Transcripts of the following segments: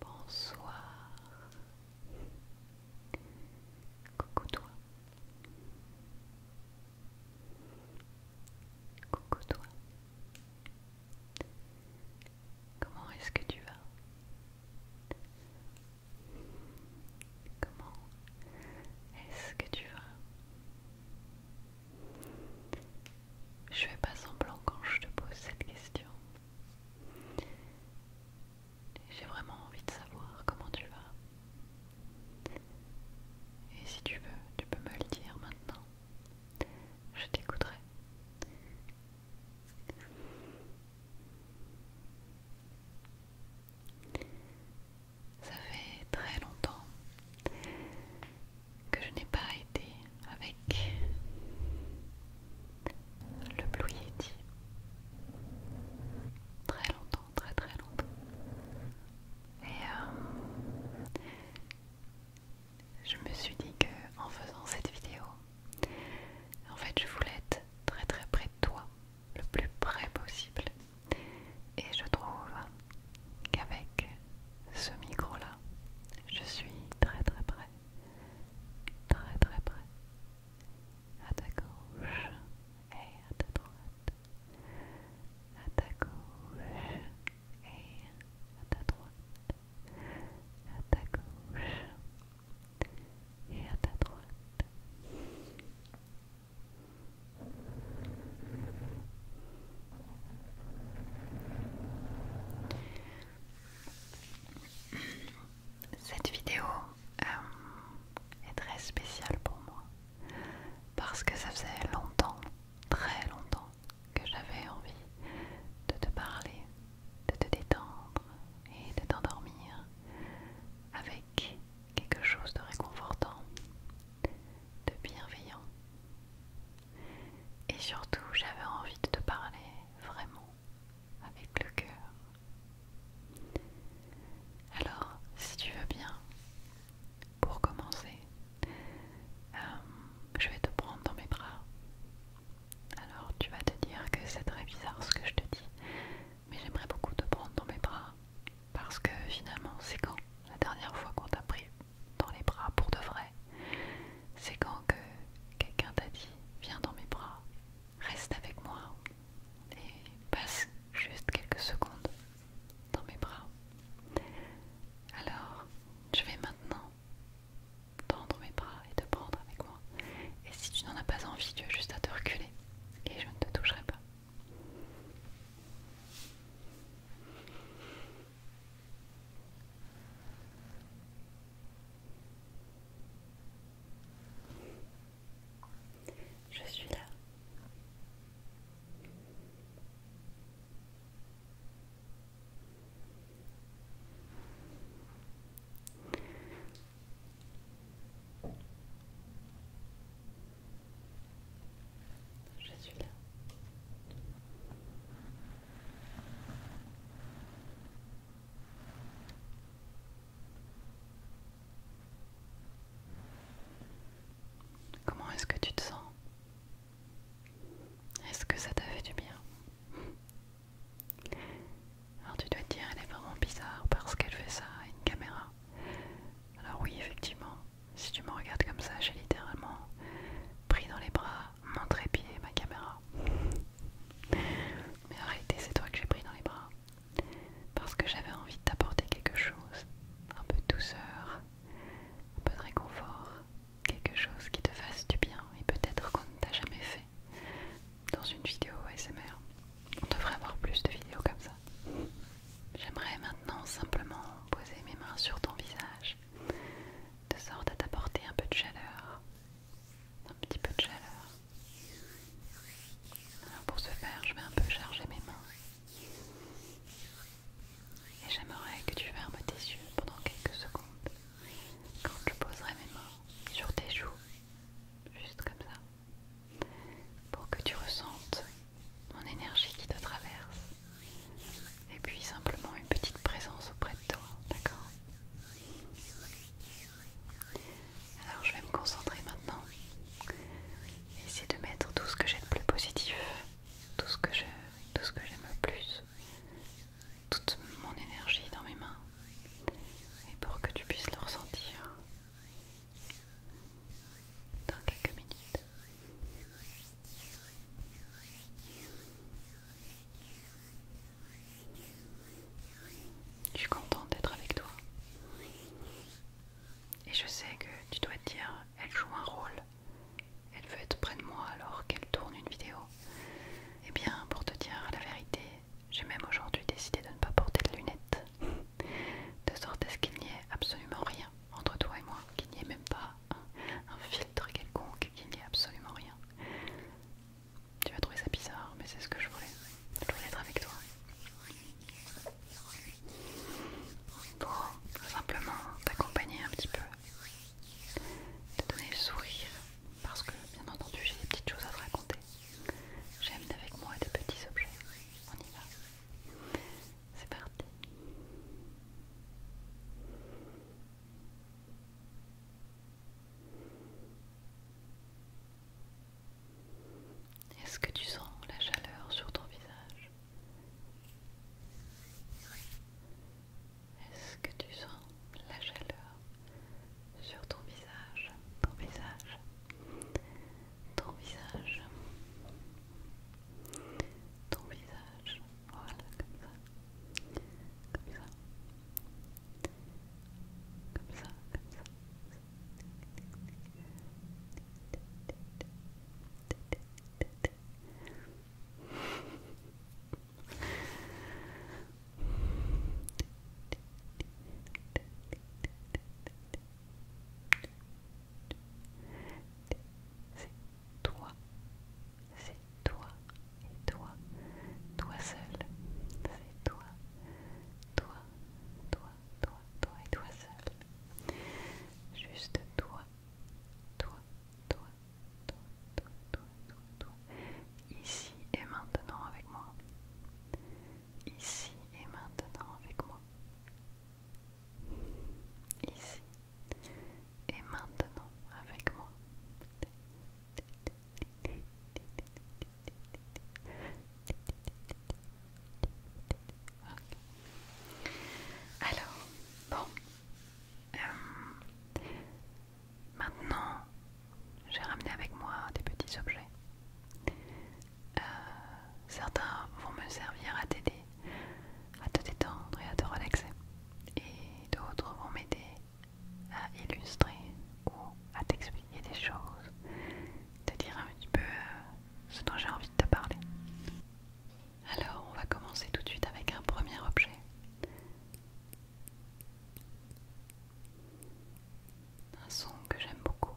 Bonsoir. Coucou toi. Coucou toi. Comment est-ce que tu vas Comment est-ce que tu vas je fais pas semblant quand je te pose cette question. J'ai vraiment envie de savoir comment tu vas. Et si tu veux, tu peux me le dire maintenant. Je t'écouterai. Ça fait très longtemps que je n'ai pas été avec le Blue Yeti. Très longtemps, très très longtemps. Et euh, je me suis dit que en faisant cette vidéo, en fait, je voulais être très très près de toi, le plus près possible. Et je trouve qu'avec ce micro-là, je suis très très près, très très près, à ta gauche et à ta droite, à ta gauche et à ta droite, à ta gauche et à ta droite. Cette vidéo euh, est très spéciale pour moi parce que ça faisait longtemps, très longtemps que j'avais envie de te parler, de te détendre et de t'endormir avec quelque chose de réconfortant de bienveillant. Et surtout, j'avais envie de te parler vraiment avec le cœur. Alors, si tu veux bien, pour commencer, euh, je vais te prendre dans mes bras. Alors, tu vas te dire que c'est très bizarre ce que je te dis, mais j'aimerais beaucoup te prendre dans mes bras parce que finalement, c'est quand la dernière fois qu'on t'a pris dans les bras pour de vrai, c'est quand que quelqu'un t'a dit viens dans mes bras, reste avec moi et passe juste quelques secondes dans mes bras. Alors, je vais maintenant tendre mes bras et te prendre avec moi. Et si tu n'en as pas envie, tu as juste à te reculer et je ne te toucherai pas. Je suis là. Je suis là. Comment est-ce que tu te sens Est-ce que ça t'a fait du bien Alors tu dois te dire, elle est vraiment bizarre parce qu'elle fait ça à une caméra. Alors oui, effectivement, si tu me regardes comme ça, j'ai littéralement pris dans les bras mon trépied et ma caméra. Mais en réalité, c'est toi que j'ai pris dans les bras. Parce que j'avais envie de t'apporter quelque chose. Un peu de douceur, un peu de réconfort. Quelque chose qui te fasse du bien et peut-être qu'on ne t'a jamais fait dans une vidéo ASMR. On devrait avoir plus de vidéos comme ça. J'aimerais maintenant simplement poser mes mains sur ton visage, de sorte à t'apporter un peu de chaleur. Un petit peu de chaleur. Alors pour ce faire, je vais un peu charger mes mains. Et j'aimerais que tu fermes tes yeux pendant quelques secondes quand je poserai mes mains sur tes joues, juste comme ça, pour que tu ressentes mon énergie qui te traverse. Et puis simplement une petite présence auprès de toi, d'accord Alors je vais me concentrer maintenant. Essayer de mettre tout ce que j'ai de plus positif, tout ce que j'aime le plus, toute mon énergie dans mes mains. Et pour que tu puisses le ressentir dans quelques minutes. Je suis contente d'être avec toi. Et je sais que tu dois te dire, elle joue un rôle. Elle veut être près de moi alors qu'elle tourne une vidéo. Eh bien, pour te dire la vérité, j'ai même aujourd'hui décidé de ne pas porter de lunettes. De sorte à ce qu'il n'y ait absolument rien entre toi et moi, qu'il n'y ait même pas un, filtre quelconque, qu'il n'y ait absolument rien. Tu vas trouver ça bizarre, mais c'est ce que je voulais. Je voulais être avec toi. Pour simplement t'accompagner un petit peu, te donner le sourire, parce que bien entendu j'ai des petites choses à te raconter. J'aime avec moi des petits objets. On y va. C'est parti. Est-ce que tu sens la chaleur sur ton visage Est-ce que tu sens la chaleur sur ton visage Ton visage Ton visage ton visage, voilà, comme ça, comme ça, comme ça, comme ça c'est toi, c'est toi et toi, toi seul, c'est toi, toi, toi, toi, toi et toi seul, juste toi, toi, toi, toi, toi, toi, toi, toi, ici et maintenant avec moi, ici et maintenant avec moi. Ici et maintenant, avec moi. Alors, bon. Euh, maintenant, j'ai ramené avec moi des petits objets. Euh, certains vont me servir à t'aider à te détendre et à te relaxer. Et d'autres vont m'aider à illustrer ou à t'expliquer des choses, te dire un petit peu euh, ce dont j'ai envie de te parler. Alors, on va commencer tout de suite avec un premier objet. Un son que j'aime beaucoup.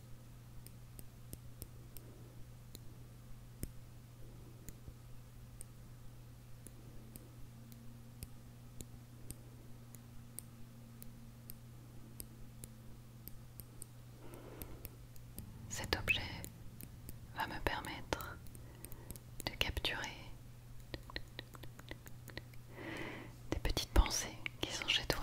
Cet objet va me permettre de capturer des petites pensées qui sont chez toi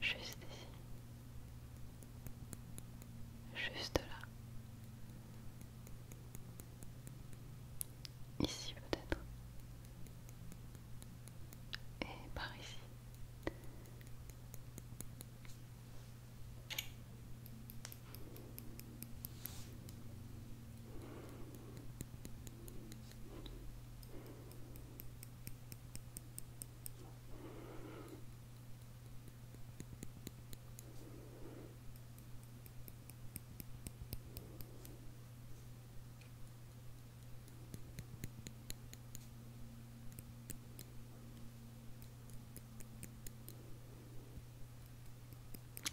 Juste ici. Juste là. Ici peut-être. Et par ici.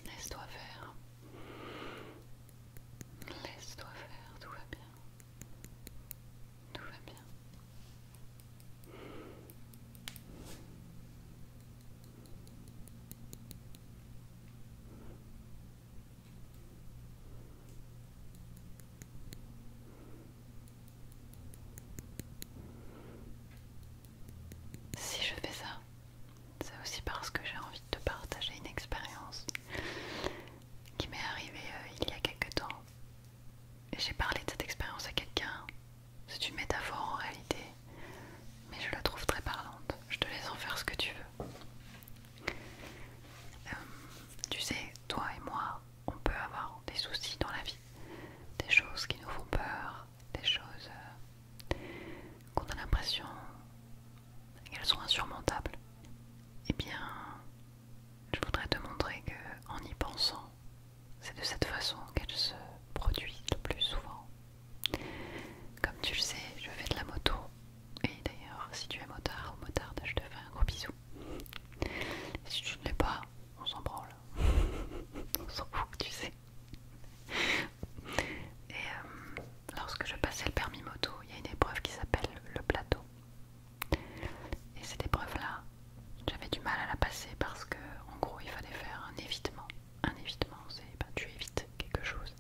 Laisse-toi faire. Laisse-toi faire, tout va bien. Tout va bien. Si je fais ça, c'est aussi parce que j'ai envie de te partager une expérience qui m'est arrivé euh, il y a quelque temps. J'ai parlé de cette expérience à quelqu'un. C'est une métaphore en réalité, mais je la trouve très parlante. Je te laisse en faire ce que tu veux. Euh, tu sais, toi et moi, on peut avoir des soucis dans la vie, des choses qui nous font peur, des choses euh, qu'on a l'impression qu'elles sont insurmontables, et eh bien, je voudrais te montrer que, en y pensant, c'est de cette façon qu'elles se produisent le plus souvent. Comme tu le sais, je fais de la moto. Et d'ailleurs, si tu es motard ou motarde, je te fais un gros bisou. si tu ne l'es pas, on s'en branle. on s'en fout, tu sais. Et euh, lorsque je passais le permis moto, il y a une épreuve qui s'appelle le plateau. Et cette épreuve-là, j'avais du mal à la passer parce que, en gros, il fallait faire un évitement. Un évitement, c'est bah, tu évites quelque chose.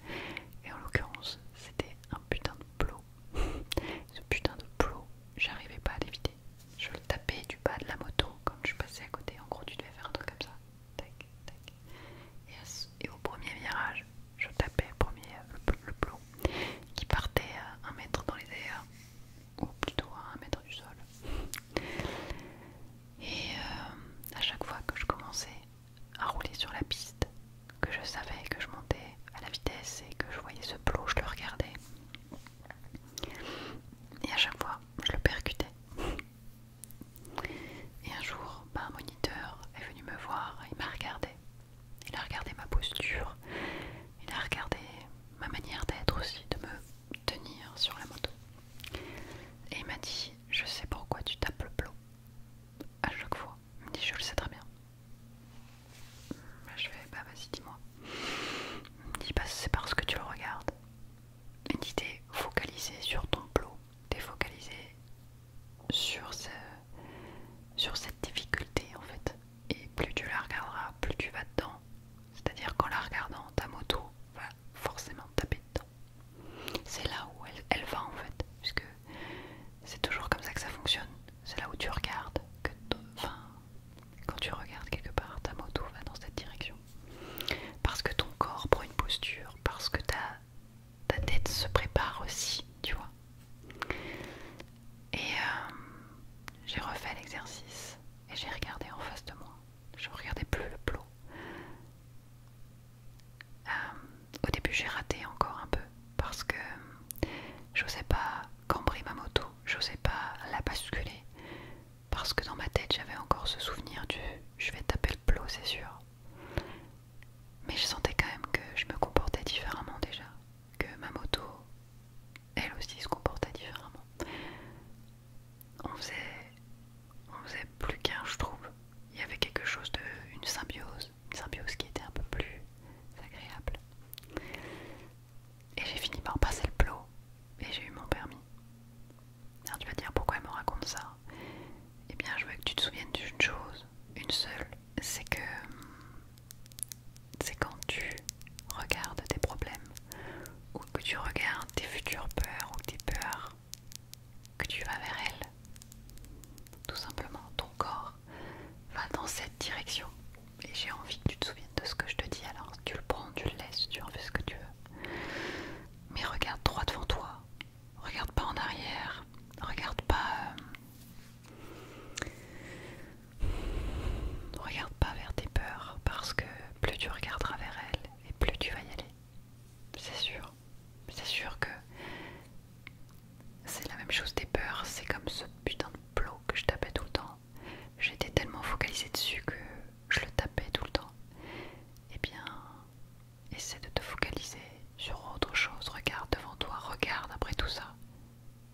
Et en l'occurrence, c'était un putain de plot. Ce putain de plot, j'arrivais pas à l'éviter. Je le tapais du bas de la moto quand je passais à côté. En gros, tu devais faire un truc comme ça. Tac, tac et au premier virage, je tapais premier, euh, le, plot qui partait à euh, 1 mètre dans les airs, ou plutôt à 1 mètre du sol. Et euh, à chaque fois que je commençais à rouler sur la piste, que je savais que je montais à la vitesse et que je voyais ce plot, je le regardais. Et à chaque fois, je le percutais. Et un jour, bah, un moniteur est venu me voir, il m'a regardé il a regardé ma posture, il a regardé ma manière d'être aussi, de me tenir sur la moto. Et il m'a dit Je sais pourquoi tu tapes le plot À chaque fois. Il me dit Je le sais très bien. Bah, je fais Bah vas-y, dis-moi. Il me dit Bah c'est parce que tu le regardes. Il me dit T'es focalisé sur ton plot, t'es focalisé sur, sur cette difficulté en fait. Et plus tu la regarderas, plus tu vas dedans. C'est-à-dire qu'en la regardant, ta moto va forcément taper dedans. C'est là où elle, va en fait, puisque c'est toujours comme ça que ça fonctionne. C'est là où tu regardes, que enfin, quand tu regardes quelque part, ta moto va dans cette direction. Parce que ton corps prend une posture, parce que t'as ta tête se prépare aussi, tu vois. Et euh, j'ai refait l'exercice et j'ai regardé en face de moi. Je regardais plus le plot. Euh, au début, j'ai raté encore un peu parce que je j'osais pas cambrer ma moto, je j'osais pas la basculer parce que dans ma tête, j'avais encore ce souvenir du je vais taper le plot, c'est sûr. Mais je sentais quand même que je me comportais différemment déjà, que ma moto, elle aussi se comportait différemment. On faisait, on faisait plus qu'un, je trouve. Il y avait quelque chose de, une symbiose, une symbiose qui était un peu plus agréable. Et j'ai fini par passer le plot et j'ai eu mon permis. Alors tu vas dire pourquoi elle me raconte ça Eh bien je veux que tu te souviennes d'une chose, une seule, c'est que c'est quand tu regardes tes problèmes ou que tu regardes tes futures peurs ou tes peurs que tu vas vers elles. Tout simplement, ton corps va dans cette direction. Et j'ai envie que tu te souviennes de ce que je te dis, alors tu le prends, tu le laisses, tu en fais ce que tu veux. Mais regarde droit devant toi, Regarde pas en arrière. Regarde pas. Euh, regarde pas vers tes peurs parce que plus tu regarderas vers elles et plus tu vas y aller. C'est sûr. C'est sûr que c'est la même chose tes peurs. C'est comme ce putain de plot que je tapais tout le temps. J'étais tellement focalisée dessus que je le tapais tout le temps. Et eh bien, Essaie de te focaliser sur autre chose. Regarde devant toi, regarde après tout ça.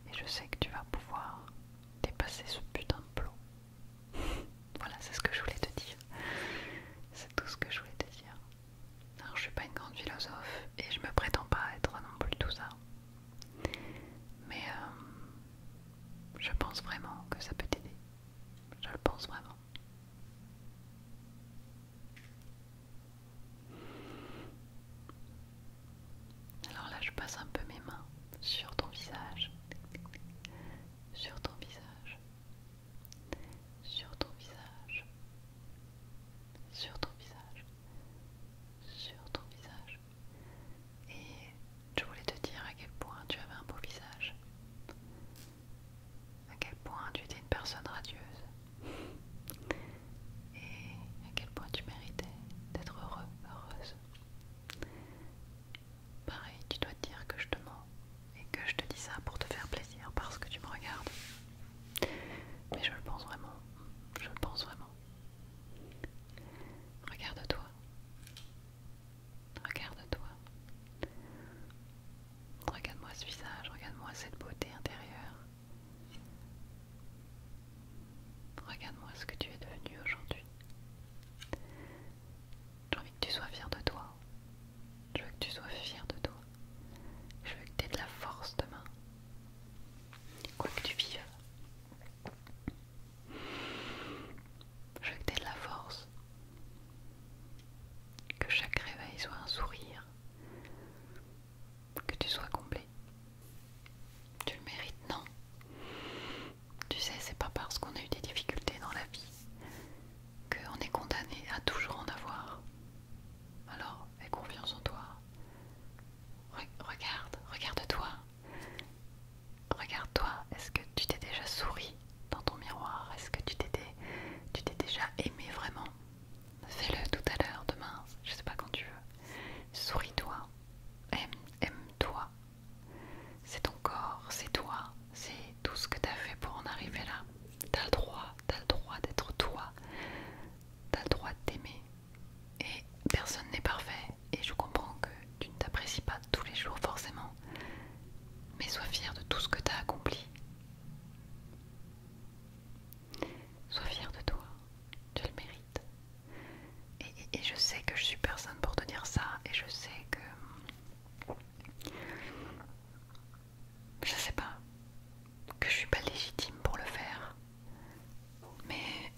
Et je sais que tu vas pouvoir dépasser ce putain de plot. voilà, c'est ce que je voulais te dire. C'est tout ce que je voulais te dire. Alors, je suis pas une grande philosophe et je me prétends pas être non plus tout ça. Mais euh, je pense vraiment que ça peut t'aider. Je le pense vraiment. Alors là, je passe un peu mes mains sur ton visage, sur ton visage, sur ton visage, sur ton visage, sur ton visage. Et je voulais te dire à quel point tu avais un beau visage à quel point tu étais une personne radieuse et à quel point tu méritais d'être heureux, heureuse. Pareil, tu dois te dire que je te mens et que je te dis ça pour te faire plaisir parce que tu me regardes. Mais je le pense vraiment, je le pense vraiment. Regarde-toi. Regarde-toi. Regarde-moi ce visage, regarde-moi cette beauté intérieure. Regarde-moi ce que tu es devenu aujourd'hui. J'ai envie que tu sois fier de toi. Je veux que tu sois fier de toi. Je veux que tu aies de la force demain. Quoi que tu vives. Je veux que tu aies de la force. Que chaque réveil soit un sourire que tu sois complet, Tu le mérites, non Tu sais, c'est pas parce qu'on a eu des difficultés dans la vie qu'on est condamné à toujours en avoir. Alors, fais confiance en toi. regarde, regarde-toi. Regarde-toi. Est-ce que tu t'es déjà souri dans ton miroir Est-ce que tu t'es déjà aimé vraiment Fais-le tout à l'heure, demain, je sais pas quand tu veux. Souris-toi, aime-toi. c'est ton corps, c'est toi, c'est tout ce que t'as fait pour en arriver là. T'as le droit, t'as le droit d'être toi. T'as le droit de t'aimer. Et personne n'est parfait. Et je comprends que tu ne t'apprécies pas tous les jours forcément. Mais sois fier de tout ce que t'as accompli. Sois fière de toi, tu le mérites. Et, je sais que je suis personne pour te dire ça, et je sais que. Je sais pas, que je suis pas légitime pour le faire. Mais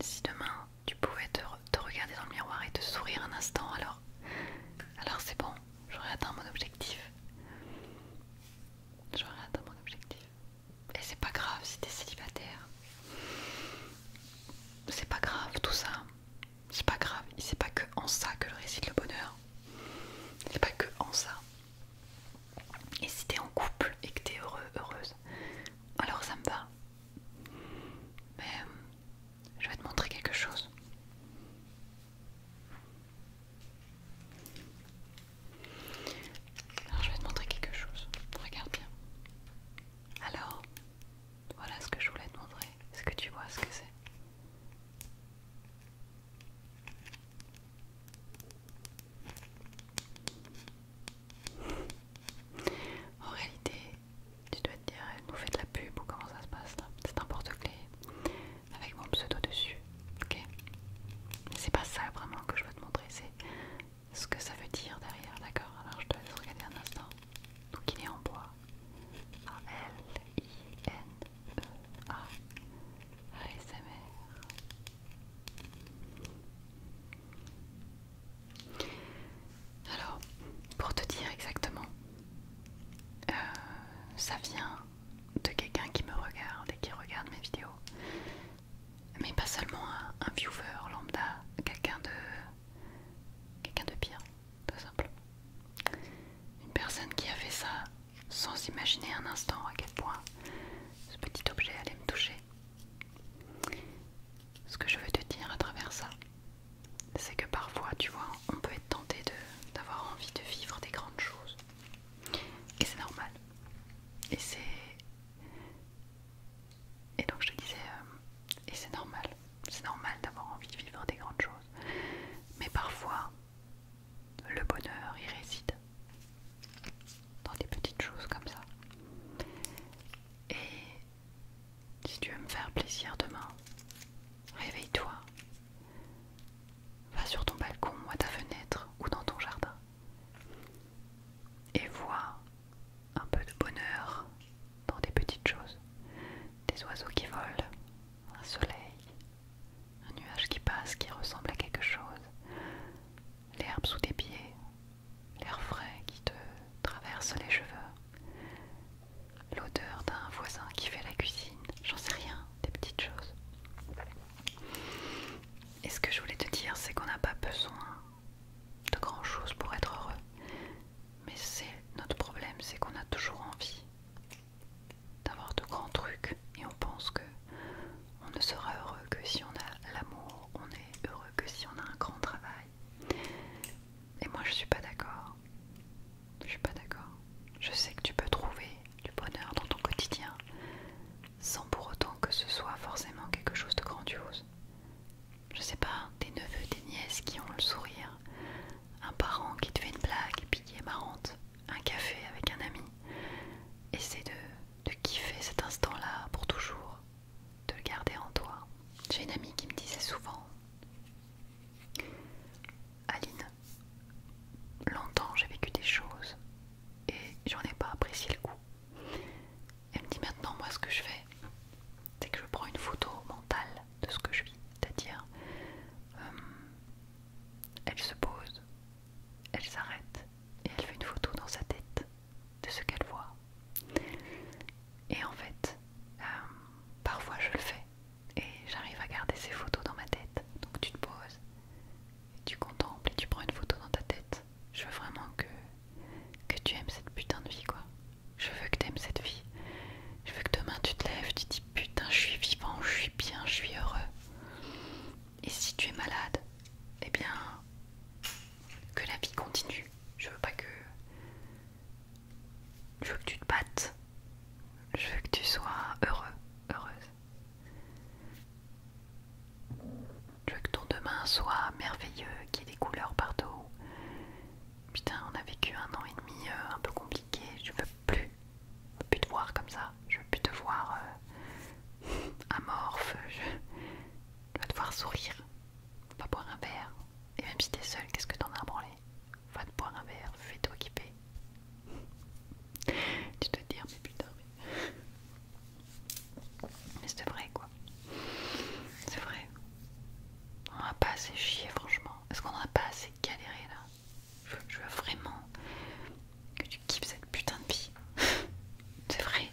si demain tu pouvais te, regarder dans le miroir et te sourire un instant, alors, alors c'est bon, j'aurais atteint mon objectif. J'aurais dans mon objectif. Et c'est pas grave si t'es célibataire. C'est pas grave tout ça. C'est pas grave. Et c'est pas que en ça que le réside le bonheur. C'est pas que en ça. Et si t'es en couple et que t'es heureux, heureuse, alors ça me va. Mais euh, je vais te montrer quelque chose. Alors je vais te montrer quelque chose. Regarde bien. Alors, voilà ce que je voulais te montrer. Est-ce que tu vois ce que c'est En réalité, tu dois te dire, vous faites de la pub ou comment ça se passe là hein. C'est un porte-clés avec mon pseudo dessus. Ok Mais c'est pas ça vraiment que je veux te montrer, c'est ce que ça veut dire derrière, d'accord Alors je te laisse regarder un instant. Donc il est en bois. A-L-I-N-E-A. E ASMR. Alors, pour te dire exactement, euh, ça vient de quelqu'un qui me regarde et qui regarde mes vidéos. Mais pas seulement un, viewer lambda, quelqu'un de quelqu'un de pire, tout simplement. Une personne qui a fait ça sans imaginer un instant à quel point ce petit objet allait me toucher. Ce que je veux te dire à travers ça, c'est que parfois, tu vois, on peut être tenté d'avoir envie de vivre des grandes choses. Et c'est normal. Et c'est. Et donc je te disais, euh, et c'est normal. C'est normal d'avoir envie de vivre des grandes choses. Mais parfois, le bonheur il réside. Dans des petites choses comme ça. Et si tu veux me faire plaisir demain, Réveille-toi. Va sur ton balcon ou à ta fenêtre ou dans ton jardin. Et vois un peu de bonheur dans des petites choses. Des oiseaux qui volent, un soleil, un nuage qui passe qui ressemble à quelque chose, l'herbe sous tes pieds, l'air frais qui te traverse les cheveux, l'odeur d'un voisin qui fait la cuisine, j'en sais rien des petites choses. Et ce que je voulais te dire, c'est qu'on n'a pas besoin de grand chose pour être heureux. Mais c'est notre problème, c'est qu'on a toujours envie d'avoir de grands trucs et on pense que on ne sera heureux que si on a l'amour, on est heureux que si on a un grand travail. Et moi je suis pas d'accord. Je suis pas d'accord. Je sais que tu peux trouver du bonheur dans ton quotidien sans pour autant que ce soit forcément quelque chose de grandiose. Je sais pas, des neveux, des nièces qui ont le sourire, un parent qui te fait une blague et puis est marrante, un café avec un ami. Essaie de, de kiffer cet instant-là pour toujours, de le garder en toi. J'ai une amie qui me disait souvent Aline, longtemps j'ai vécu des choses et j'en ai pas apprécié le coup. Elle me dit maintenant, moi ce que je fais, c'est que je prends une photo mentale de ce que je vis, c'est-à-dire, euh, elle se pose, elle s'arrête et elle fait une photo dans sa tête de ce qu'elle voit. Et en fait, euh, parfois je le fais, et j'arrive à garder ces photos dans ma tête. Donc tu te poses, tu contemples et tu prends une photo dans ta tête. Je veux vraiment que, tu aimes cette putain de vie, quoi. Je veux que tu aimes cette vie. Je veux que demain tu te lèves, tu te dis putain, je suis vivant, je suis bien, je suis heureux. Et si tu es malade, eh bien, que la vie continue. Je veux pas que. Je veux que tu te battes. Je veux que tu sois heureux heureuse. Je veux que ton demain soit merveilleux, qu'il y ait des couleurs partout. Putain, on a vécu un an et demi euh, un peu compliqué. Je veux plus, plus te voir comme ça. Je veux plus te voir euh, amorphe. Je... veux te voir sourire. pas va boire un verre. Et même si t'es seule, qu'est-ce que t'en as à branler va te boire un verre, fais-toi tu te dire, mais putain, mais. c'est vrai quoi. C'est vrai. On n'a pas assez chier, franchement. Est-ce qu'on n'a pas assez galéré là je, veux vraiment que tu kiffes cette putain de vie. c'est vrai.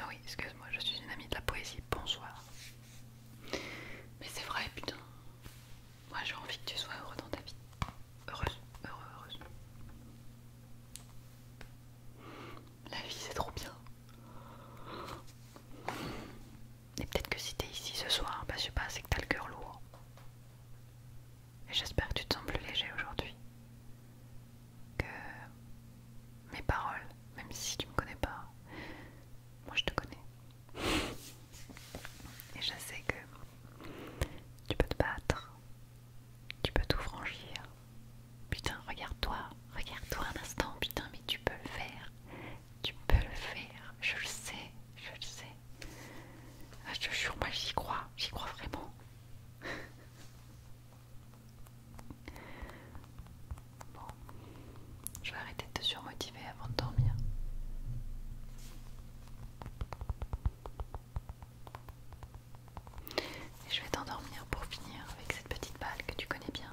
Ah oui, excuse-moi, je suis une amie de la poésie. Bonsoir. Mais c'est vrai, putain. Moi, j'ai envie que tu sois heureux dans ta vie. Heureuse, heureux, heureuse. La vie, c'est trop bien. Et peut-être que si t'es ici ce soir, bah, je sais pas, c'est que t'as le cœur lourd. Et j'espère que tu te sens plus léger aujourd'hui que mes paroles, même si tu me connais pas, moi je te connais. Et je sais que tu peux te battre, tu peux tout franchir. Putain, regarde-toi, regarde-toi un instant, putain, mais tu peux le faire. Tu peux le faire, je le sais, je le sais. Ah, je te jure, moi j'y crois, j'y crois vraiment. Bon, je vais arrêter de te surmotiver avant de dormir. Et je vais t'endormir pour finir avec cette petite balle que tu connais bien.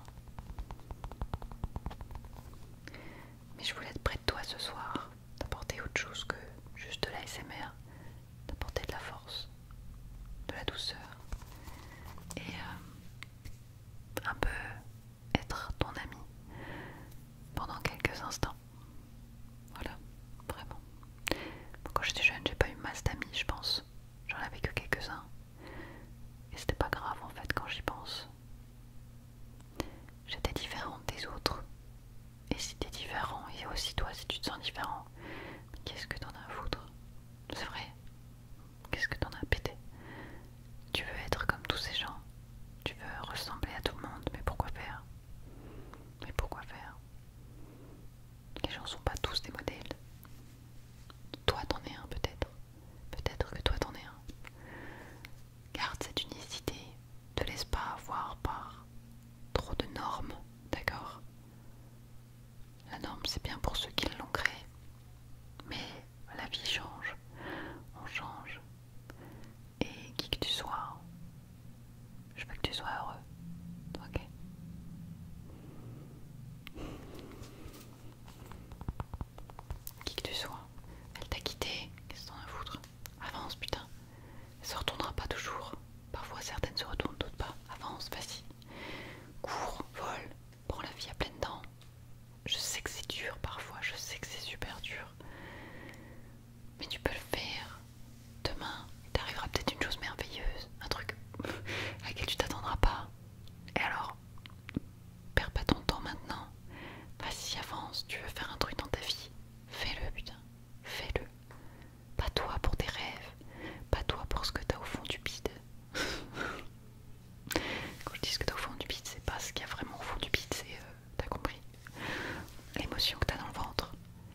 Mais je voulais être près de toi ce soir, D'apporter autre chose que juste de l'ASMR D'apporter de la force, de la douceur et euh, un peu être ton ami pendant quelques instants. Voilà, vraiment. quand j'étais jeune, j'ai pas eu masse d'amis, je pense. J'en avais que quelques-uns. Et c'était pas grave en fait quand j'y pense. J'étais différente des autres. Et si t'es différent, et aussi toi si tu te sens différent, qu'est-ce que t'en as à foutre C'est vrai, Qu'est-ce que t'en as pété Tu veux être comme tous ces gens. Tu veux ressembler à tout le monde. Mais pourquoi faire Mais pourquoi faire Les gens sont pas tous des modèles. Toi t'en es un peut-être. Peut-être que toi t'en es un. Garde cette unicité. Te laisse pas avoir par trop de normes, d'accord la norme, c'est bien pour ceux qui l'ont créée. Mais la vie change, on change. Et qui que tu sois, je veux que tu sois heureux. Ok Qui que tu sois, elle t'a quitté, qu'est-ce que t'en as foutre Avance, putain. Elle se retournera pas toujours. Parfois certaines se retournent, d'autres pas. Avance, vas-y. Cours, vole, Prends la vie à pleines dents. Je sais que c'est dur parfois, je sais que c'est super dur. Mais tu peux le faire. Demain, il t'arrivera peut-être une chose merveilleuse, un truc à qui tu t'attendras pas. Et alors, perds pas ton temps maintenant. Vas-y, avance. Tu veux faire un truc dans ta vie Fais-le, putain. Fais-le. Pas toi pour tes rêves, pas toi pour ce que t'as au fond du bide, quand je dis que t'as au fond du pit c'est pas ce qu'il y a vraiment au fond du pit c'est. Euh, t'as compris L'émotion que t'as dans le ventre.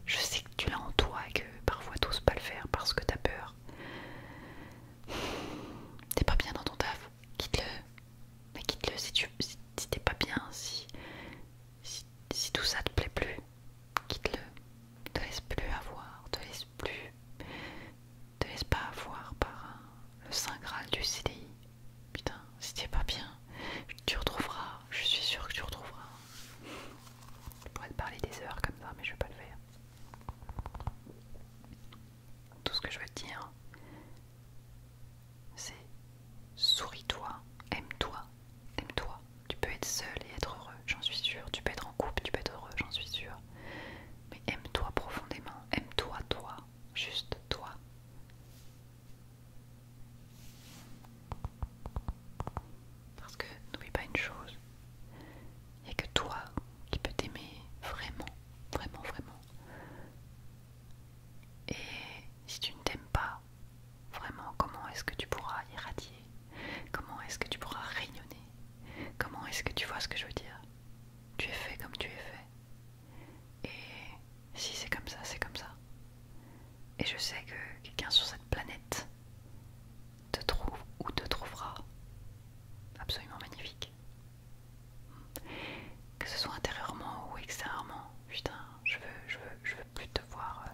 Je sais que tu l'as en toi et que parfois t'oses pas le faire parce que t'as peur. T'es pas bien dans ton taf, quitte-le. Mais quitte-le si tu si, t'es pas bien, si, si, tout ça te plaît plus, quitte-le. Te laisse plus avoir, te laisse plus. plus, te laisse pas avoir par le Saint Graal du CDI. Putain, si t'es pas bien, tu retrouveras, je suis sûre que tu retrouveras. Je pourrais te parler des heures comme ça, mais je vais pas le faire. Tout ce que je veux te dire, c'est souris-toi, aime-toi, aime-toi. Tu peux être seul et être heureux, j'en suis sûre. Tu peux être en couple, tu peux être heureux, j'en suis sûre. Mais aime-toi profondément, aime-toi, toi, juste toi. Parce que n'oublie pas une chose, il n'y a que toi qui peut t'aimer vraiment, vraiment, vraiment. Et si tu ne t'aimes pas, vraiment, comment est-ce que tu pourras irradier Comment est-ce que tu pourras rayonner Comment est-ce que tu vois ce que je veux dire Tu es fait comme tu es fait. Et si c'est comme ça, c'est comme ça. Et je sais que quelqu'un sur cette planète te trouve ou te trouvera absolument magnifique. Que ce soit intérieurement ou extérieurement, putain, je veux, je veux, je veux plus te voir euh,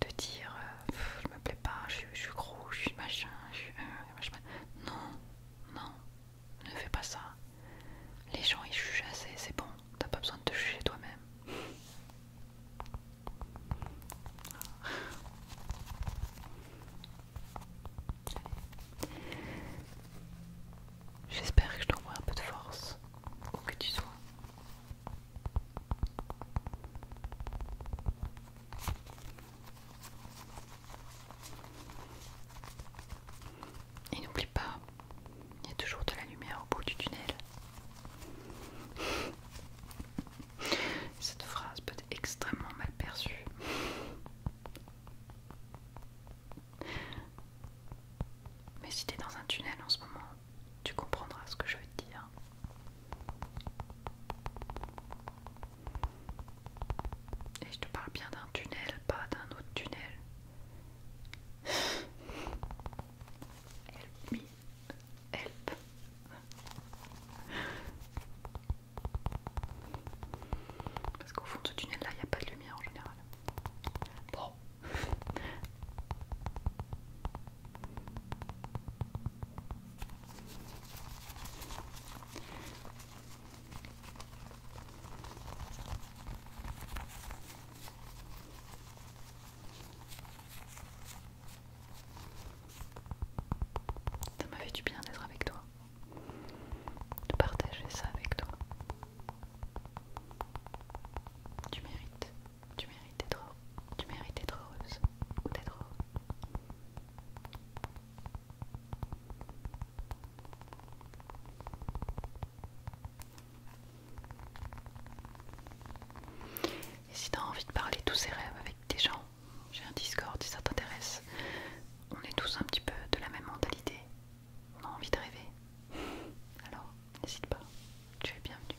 de dire euh, je me plais pas, je, suis gros, je suis machin, euh, je suis. machin. Non, non, ne fais pas ça. Les gens ils jugent assez, c'est bon, t'as pas besoin de te juger toi-même. J'espère que je t'envoie un peu de force, ou que tu sois. Et n'oublie pas, il y a toujours de la lumière au bout du tunnel. Cette phrase peut être extrêmement mal perçue. Mais si tu es dans un tunnel en ce moment, tu comprendras ce que je veux te dire. Et je te parle bien d'un tunnel, pas d'un autre tunnel. Help me. Help. Parce qu'au fond de ce tunnel là, il n'y a pas de lumière en général. Bon. Ça m'a fait du bien d'être avec toi, de partager ça avec toi. Tu mérites, tu tu mérites d'être heureuse ou d'être heureux. Et si tu as envie de parler tous ces rêves avec des gens, j'ai un Discord si ça t'intéresse. On est tous un petit peu de la même mentalité. On a envie de rêver. Alors, n'hésite pas. Tu es bienvenue.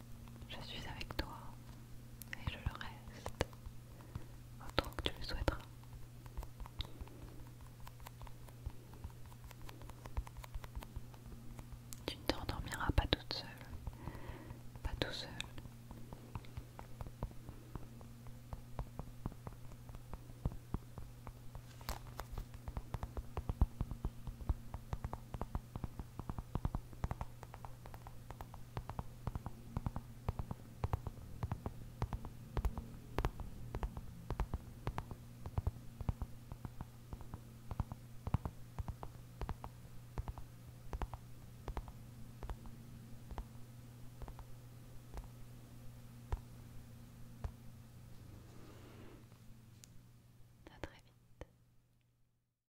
Je suis avec toi et je le reste autant que tu le souhaiteras. Tu ne t'endormiras pas toute seule, pas tout seul. À très vite.